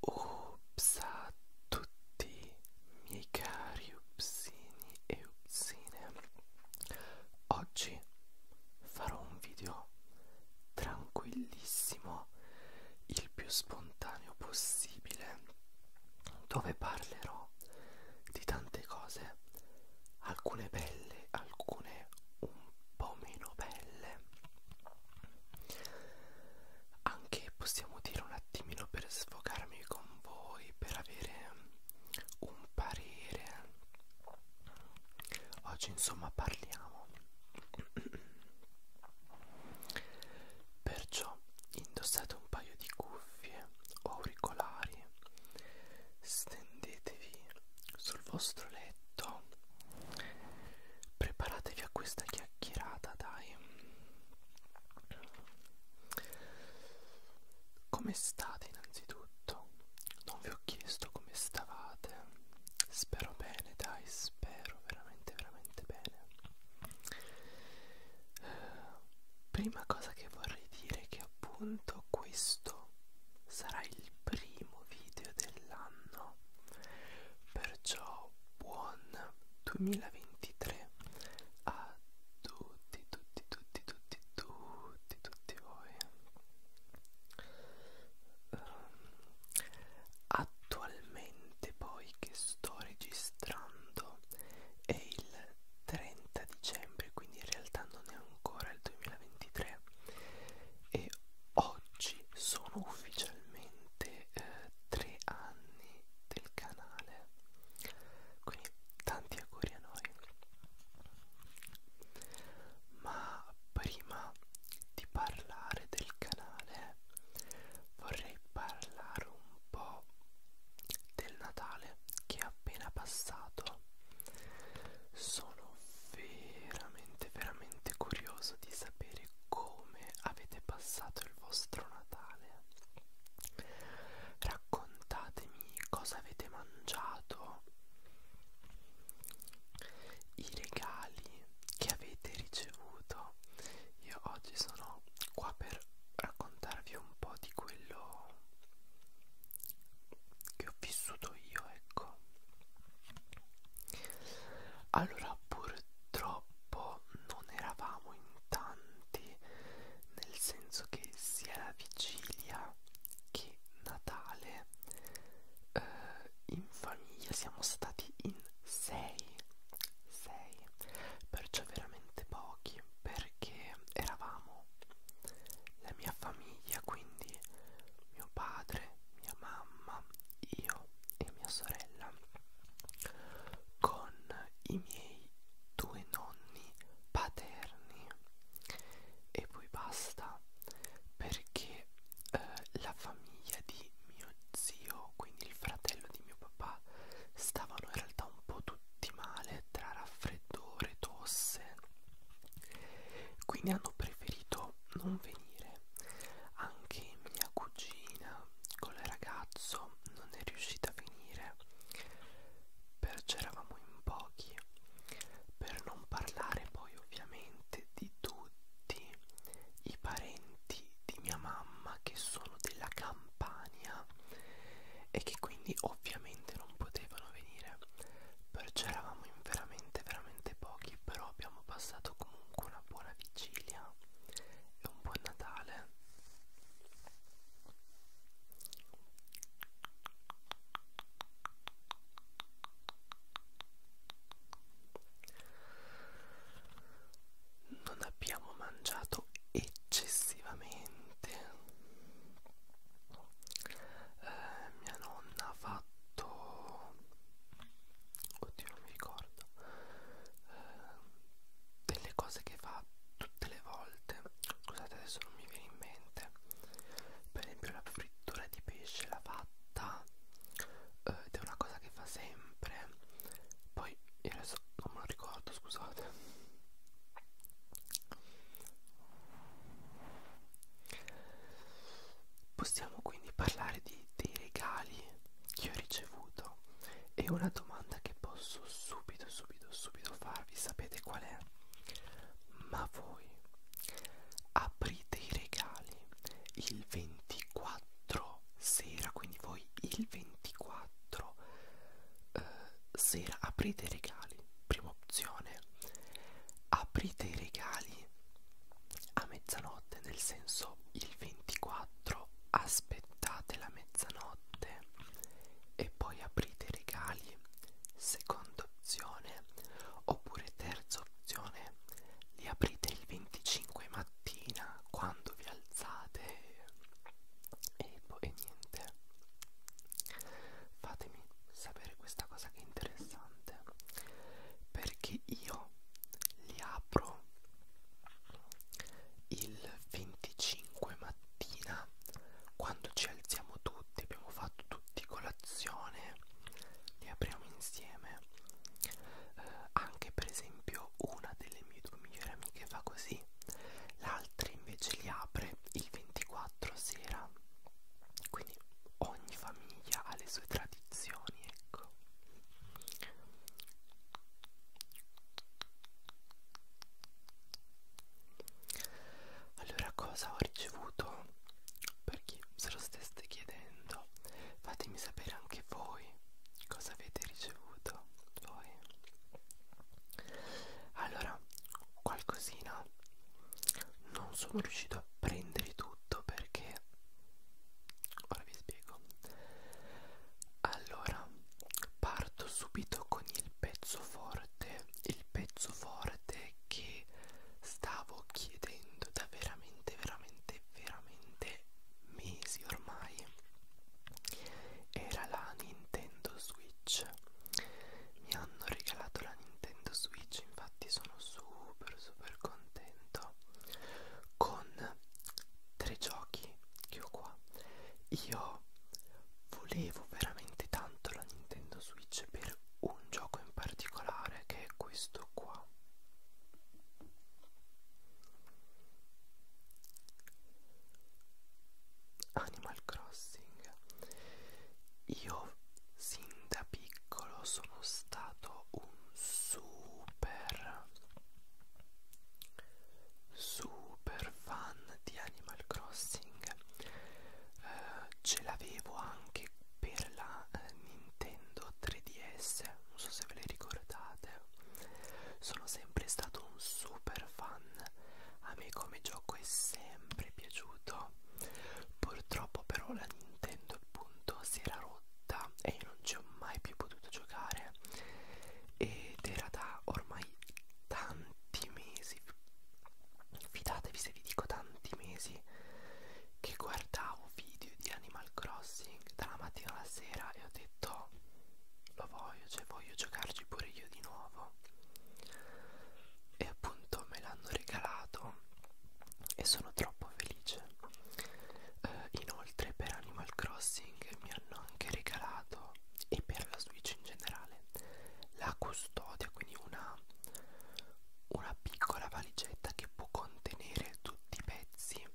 Ups a tutti miei cari upsini e upsine Oggi farò un video tranquillissimo il più spontaneo possibile dove parlerò di tante cose alcune belle, alcune un po' meno belle. Anche possiamo dire un attimino per sfogarmi con voi, per avere un parere. Oggi insomma parliamo. Perciò indossate un paio di cuffie o auricolari stendetevi sul vostro letto preparatevi a questa chiacchierata dai come state innanzitutto non vi ho chiesto come stavate spero bene dai spero veramente veramente bene eh, prima cosa che vorrei dire è che appunto questo sarà il primo video dell'anno perciò buon 2023 a tutti tutti tutti tutti tutti tutti voi um, attualmente poi che sto registrando è il 30 dicembre quindi in realtà non è ancora il 2023 e oggi sono ufficialmente eh, tre anni del canale quindi tanti auguri a noi ma prima di parlare del canale vorrei parlare un po' del Natale che è appena passato sono veramente veramente curioso di sapere come avete passato il vostro Natale raccontatemi cosa avete mangiato i regali che avete ricevuto io oggi sono qua per raccontarvi un po' di quello che ho vissuto io ecco allora purtroppo non eravamo in tanti nel senso che sia la vigilia che Natale eh, in famiglia siamo stati in 6 perciò veramente pochi perché eravamo la mia famiglia, quindi mio padre, mia mamma, io e mia sorella, con i miei due nonni paterni e poi basta perché eh, la famiglia di mio zio, quindi il fratello di mio papà, stavano in realtà un po' tutti male tra raffreddore, tosse, quindi hanno preferito non venire. Anche mia cugina con il ragazzo non è riuscita a venire, perciò eravamo in pochi, per non parlare poi ovviamente di tutti i parenti di mia mamma che sono della Campania Milano e che quindi ovviamente non potevano venire perciò eravamo in veramente veramente pochi però abbiamo passato comunque una buona vigilia e un buon Natale non abbiamo mangiato eccessivamente eh, mia nonna ha fatto oddio non mi ricordo eh, delle cose che fa tutte le volte scusate adesso non mi viene in mente per esempio la frittura di pesce l'ha fatta eh, ed è una cosa che fa sempre poi io adesso non me lo ricordo scusate Possiamo quindi parlare di, dei regali che ho ricevuto e una domanda che posso subito, subito, subito farvi, sapete qual è? Ma voi aprite i regali il 24 sera, quindi voi il 24 eh, sera aprite i regali, prima opzione, aprite i regali a mezzanotte, nel senso il 24 aspettate la mezzanotte e poi aprite i regali, seconda opzione, oppure terza opzione, li aprite il 25 mattina quando vi alzate e poi niente fatemi sapere questa cosa che è interessante perché io li apro il 25 mattina quando ci alziamo tutti abbiamo fatto tutti colazione li apriamo insieme eh, anche per esempio una delle mie due migliori amiche fa così la altri invece li apre il 24 sera quindi ogni famiglia ha le sue tradizioni ecco allora cosa ho ricevuto per chi se lo stesse chiedendo fatemi sapere anche voi cosa avete ricevuto voi allora qualcosina non sono riuscito a prendere tutto perché ora vi spiego allora parto subito con il pezzo forte il pezzo forte che stavo chiedendo da veramente veramente veramente mesi ormai era la Nintendo Switch mi hanno regalato la Nintendo Switch, infatti sono super super contento con tre giochi che ho qua. Io volevo veramente tanto la Nintendo Switch per un gioco in particolare che è questo qua. Animal Crossing storia. Io sin da piccolo sono stato un super super fan di Animal Crossing. Eh, ce l'avevo anche per la eh, Nintendo 3DS, non so se ve le ricordate. Sono sempre stato un super super fan a me come gioco è sempre piaciuto purtroppo però la Nintendo appunto si era rotta e io non ci ho mai più potuto giocare ed era da ormai tanti mesi fidatevi se vi dico tanti mesi che guardavo video di Animal Crossing dalla mattina alla sera e ho detto lo voglio, cioè voglio giocarci pure io di nuovo e appunto me l'hanno regalato e sono troppo felice eh, inoltre per Animal Crossing mi hanno anche regalato e per la Switch in generale la custodia quindi una, una piccola valigetta che può contenere tutti i pezzi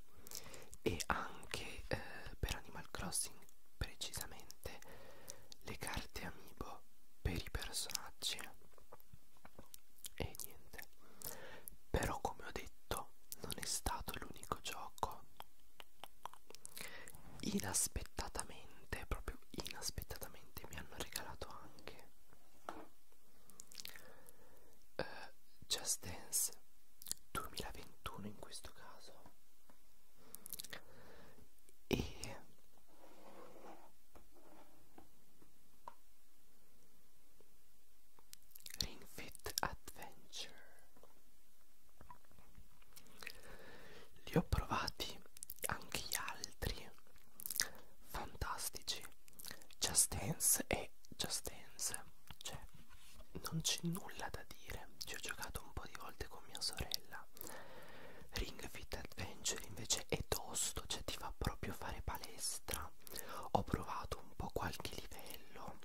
e anche eh, per Animal Crossing precisamente le carte amiibo per i personaggi e niente però come ho detto non è stato l'unico gioco inaspettatamente proprio inaspettatamente mi hanno regalato anche uh, Just Dance 2021 in questo caso e Ring Fit Adventure li ho provati anche gli altri fantastici Just Dance e Just Dance cioè non c'è nulla da dire ci ho giocato un po' di volte con mia sorella Ring Fit Adventure invece è tosto, cioè ti fa proprio fare palestra ho provato un po' qualche livello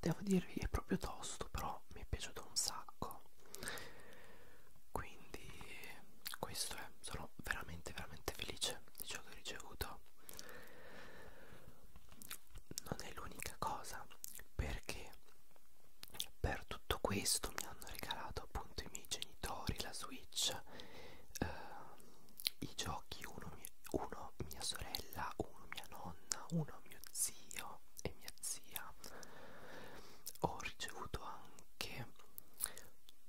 devo dirvi è proprio tosto però mi è piaciuto un sacco quindi questo è sono veramente veramente felice di ciò che ho ricevuto non è l'unica cosa perché per tutto questo mi hanno regalato appunto i miei genitori la Switch, eh, i giochi, uno, mie, uno mia sorella, uno mia nonna, uno mio zio e mia zia. Ho ricevuto anche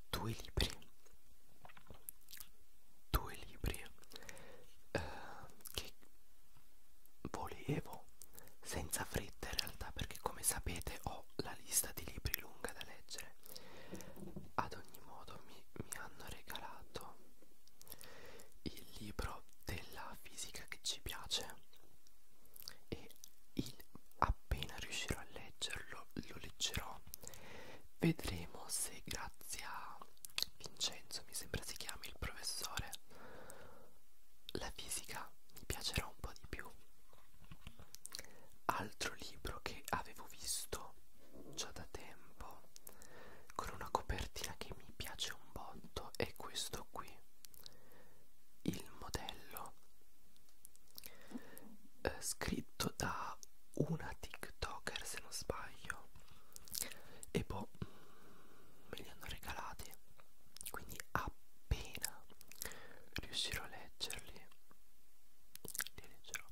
due libri, due libri eh, che volevo senza fretta in realtà perché come sapete ho la lista di libri lunga da leggere ad ogni modo mi, mi hanno regalato il libro della fisica che ci piace e il, appena riuscirò a leggerlo lo leggerò vedremo se grazie a Vincenzo mi sembra si chiami il professore la fisica mi piacerà un po' di più altro libro che avevo visto già da tempo con una copertina che mi piace un botto è questo qui il modello eh, scritto da una tiktoker se non sbaglio e poi boh, me li hanno regalati quindi appena riuscirò a leggerli li leggerò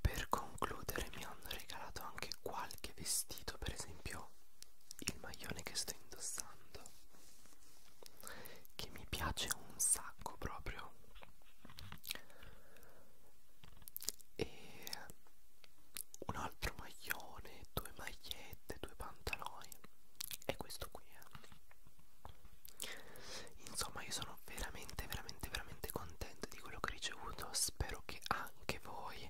per concludere mi hanno regalato anche qualche vestito per esempio il maglione che sto indossando che mi piace un sacco proprio e un altro maglione, due magliette, due pantaloni e questo qui eh. insomma io sono veramente veramente veramente contento di quello che ho ricevuto spero che anche voi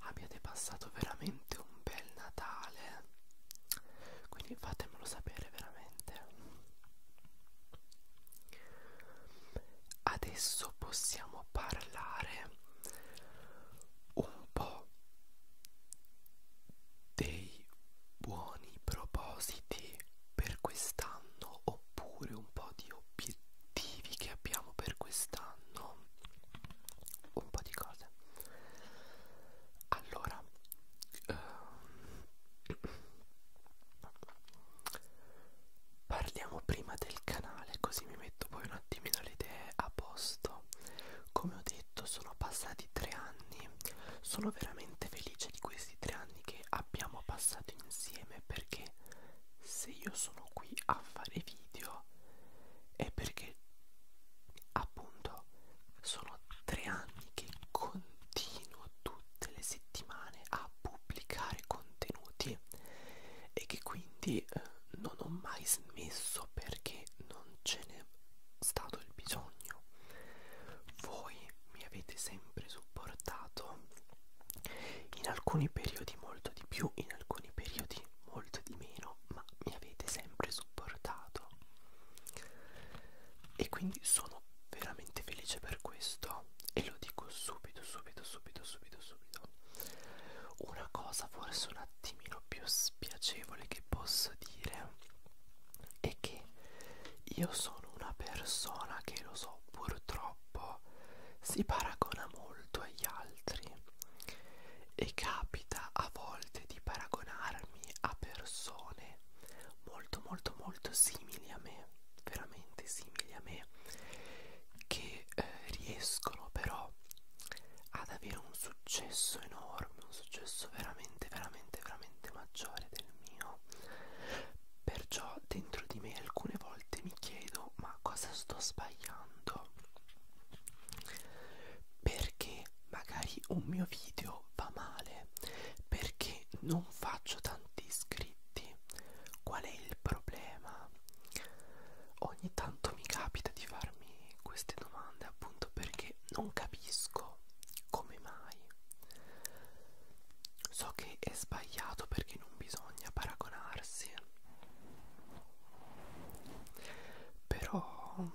abbiate passato veramente un bel Natale quindi fatemelo sapere veramente adesso possiamo parlare un po' dei buoni propositi per quest'anno oppure un po' di obiettivi che abbiamo per quest'anno un po' di cose allora ehm, parliamo prima del il canale così mi metto poi un attimino le idee a posto come ho detto sono passati tre anni sono veramente felice di questi tre anni che abbiamo passato insieme perché se io sono qui a fare video è perché appunto sono tre anni che continuo tutte le settimane a pubblicare contenuti minuti e che quindi eh, non ho mai smesso perché non ce n'è stato il bisogno voi mi avete sempre supportato in alcuni periodi molto di più in alcuni periodi molto di meno ma mi avete sempre supportato e quindi sono veramente felice per questo e lo dico subito subito subito subito subito una cosa forse un attimino più spiacevole che posso dire è che io sono una persona che lo so purtroppo si paragona molto agli altri e capita a volte di paragonarmi a persone molto molto molto simili a me veramente simili a me che eh, riescono però iniziò ad avere un successo enorme, un successo veramente, veramente, veramente maggiore del mio. Perciò dentro di me alcune volte mi chiedo ma cosa sto sbagliando? Perché magari un mio video va male? Perché non faccio tanti iscritti? Qual è il problema? Ogni tanto mi capita di farmi queste domande appunto perché non capisco come mai. So che è sbagliato perché non bisogna paragonarsi. Però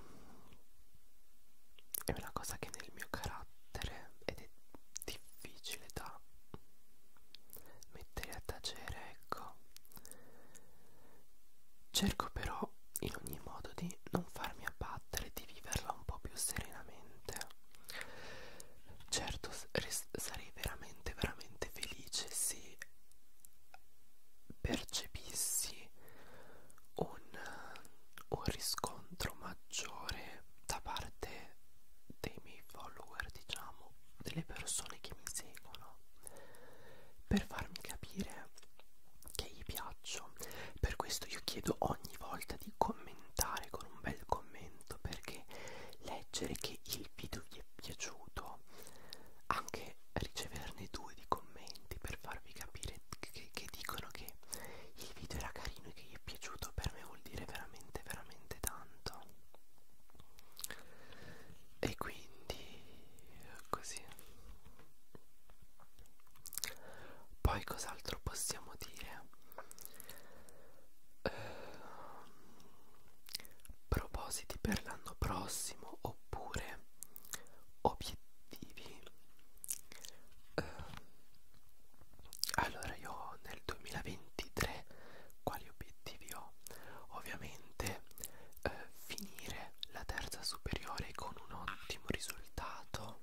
è una cosa che nel mio carattere ed è difficile da mettere a tacere ecco cerco però in ogni modo di non farmi abbattere di viverla un po' più serenamente certo sarei veramente veramente felice se percepissi un, un riscontro maggiore da parte dei miei follower diciamo delle persone che mi seguono per farmi capire che gli piaccio per questo io chiedo ogni volta di commentare con un bel commento perché leggere che il video vi è piaciuto anche riceverne due di commenti per farvi capire che, che dicono che il video era carino e che gli è piaciuto per me vuol dire veramente veramente tanto e quindi così poi cos'altro possiamo dire eh, propositi per l'anno prossimo oppure obiettivi eh, allora io nel 2023 quali obiettivi ho ovviamente veramente eh, finire la terza superiore con un ottimo risultato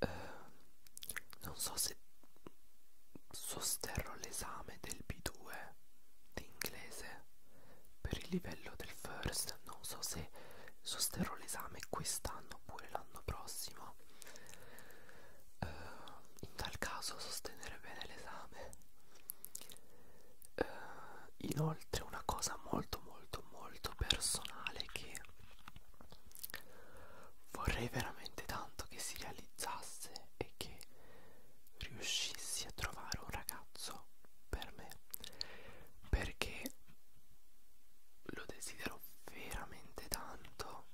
eh, non so se sosterrò l'esame del B2 di inglese per il livello del first non so se sosterrò l'esame quest'anno oppure l'anno prossimo eh, in tal caso sostenere bene l'esame eh, inoltre una cosa molto molto molto personale che vorrei veramente tanto che si realizzasse e che riuscissi a trovare un ragazzo per me perché lo desidero veramente tanto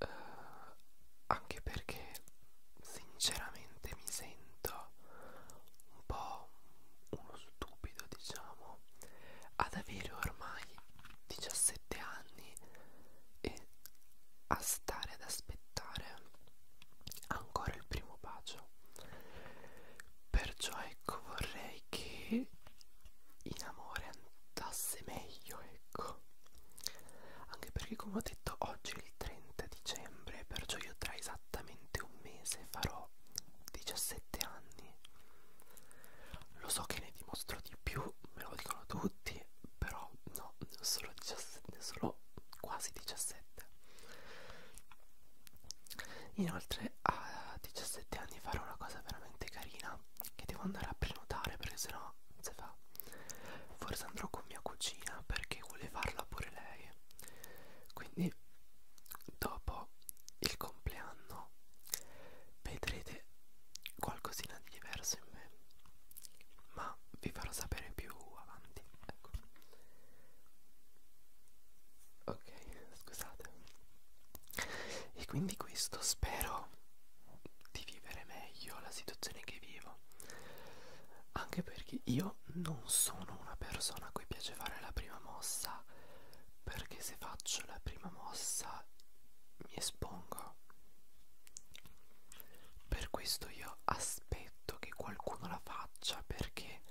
eh, anche perché sinceramente mi sento un po' uno stupido diciamo ad avere ormai 17 anni e a stare ad aspettare ancora il primo bacio perciò ecco vorrei che in amore andasse meglio ecco anche perché, come ho detto, oggi è il 30 dicembre, perciò io tra esattamente un mese farò 17 anni. Lo so che ne dimostro di più, me lo dicono tutti, però no, ne sono, 17, ne sono quasi 17. Inoltre a 17 anni farò una cosa veramente carina che devo andare a prenotare perché sennò se fa forse andrò con mia cugina perché vuole farla pure lei quindi dopo il compleanno vedrete qualcosina di diverso in me ma vi farò sapere più avanti ecco ok scusate e quindi questo spero di vivere meglio la situazione che vivo anche perché io non sono una persona a cui piace fare la prima mossa perché se faccio la prima mossa mi espongo per questo io aspetto che qualcuno la faccia perché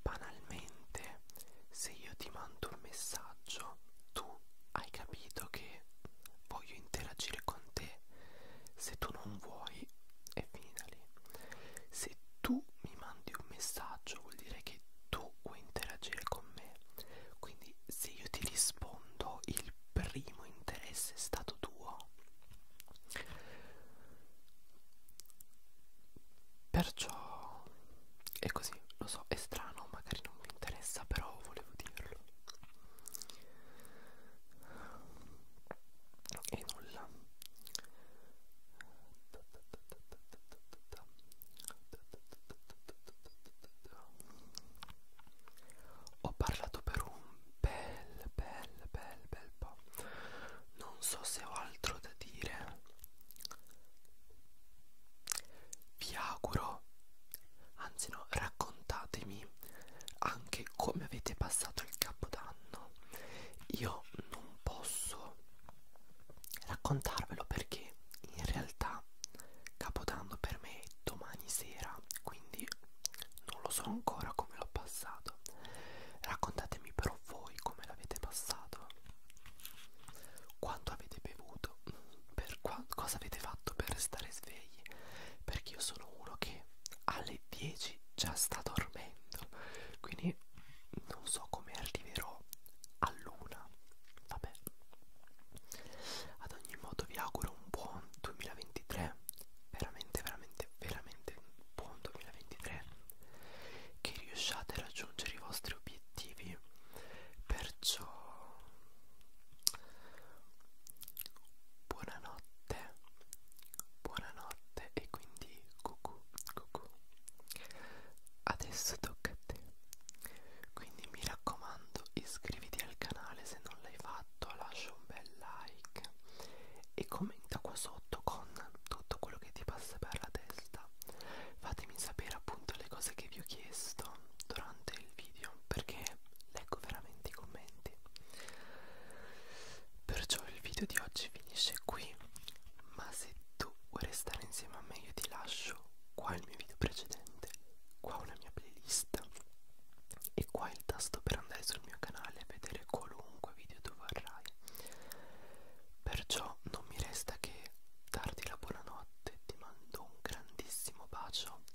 banalmente se io ti mando un messaggio tu hai capito che voglio interagire con te se tu non vuoi è finita lì se tu mi mandi un messaggio vuol dire che tu vuoi interagire con me quindi se io ti rispondo il primo interesse è stato tuo perciò è così lo so è strano magari non mi interessa però volevo dirlo e nulla ho parlato per un bel bel bel bel po' non so se ho altro da dire vi auguro po', anzi no, raccontatemi anche come avete passato il capodanno. Io non posso raccontarvelo perché in realtà capodanno per me è domani sera, quindi non lo so ancora come l'ho passato. Raccontatemi però voi come l'avete passato. Quanto avete bevuto? per cosa avete fatto per stare svegli perché io sono uno che alle 10 già sta dormendo quindi non so come arriverò all'una vabbè ad ogni modo vi auguro un buon 2023 veramente veramente veramente un buon 2023 che riusciate a raggiungere i vostri obiettivi perciò Buonanotte, buonanotte e quindi cucù, cucù. Adesso tocca a te. Quindi mi raccomando, iscriviti al canale se non l'hai fatto, lascia un bel like e commenta qua sotto con tutto quello che ti passa per la testa. Fatemi sapere appunto le cose che vi ho chiesto durante il video perché leggo veramente i commenti perciò il video di oggi finisce qui ma se tu vuoi restare insieme a me io ti lascio qua il mio video precedente qua una mia playlist e qua il tasto per andare sul mio canale e vedere qualunque video tu vorrai perciò non mi resta che darti la buonanotte ti mando un grandissimo bacio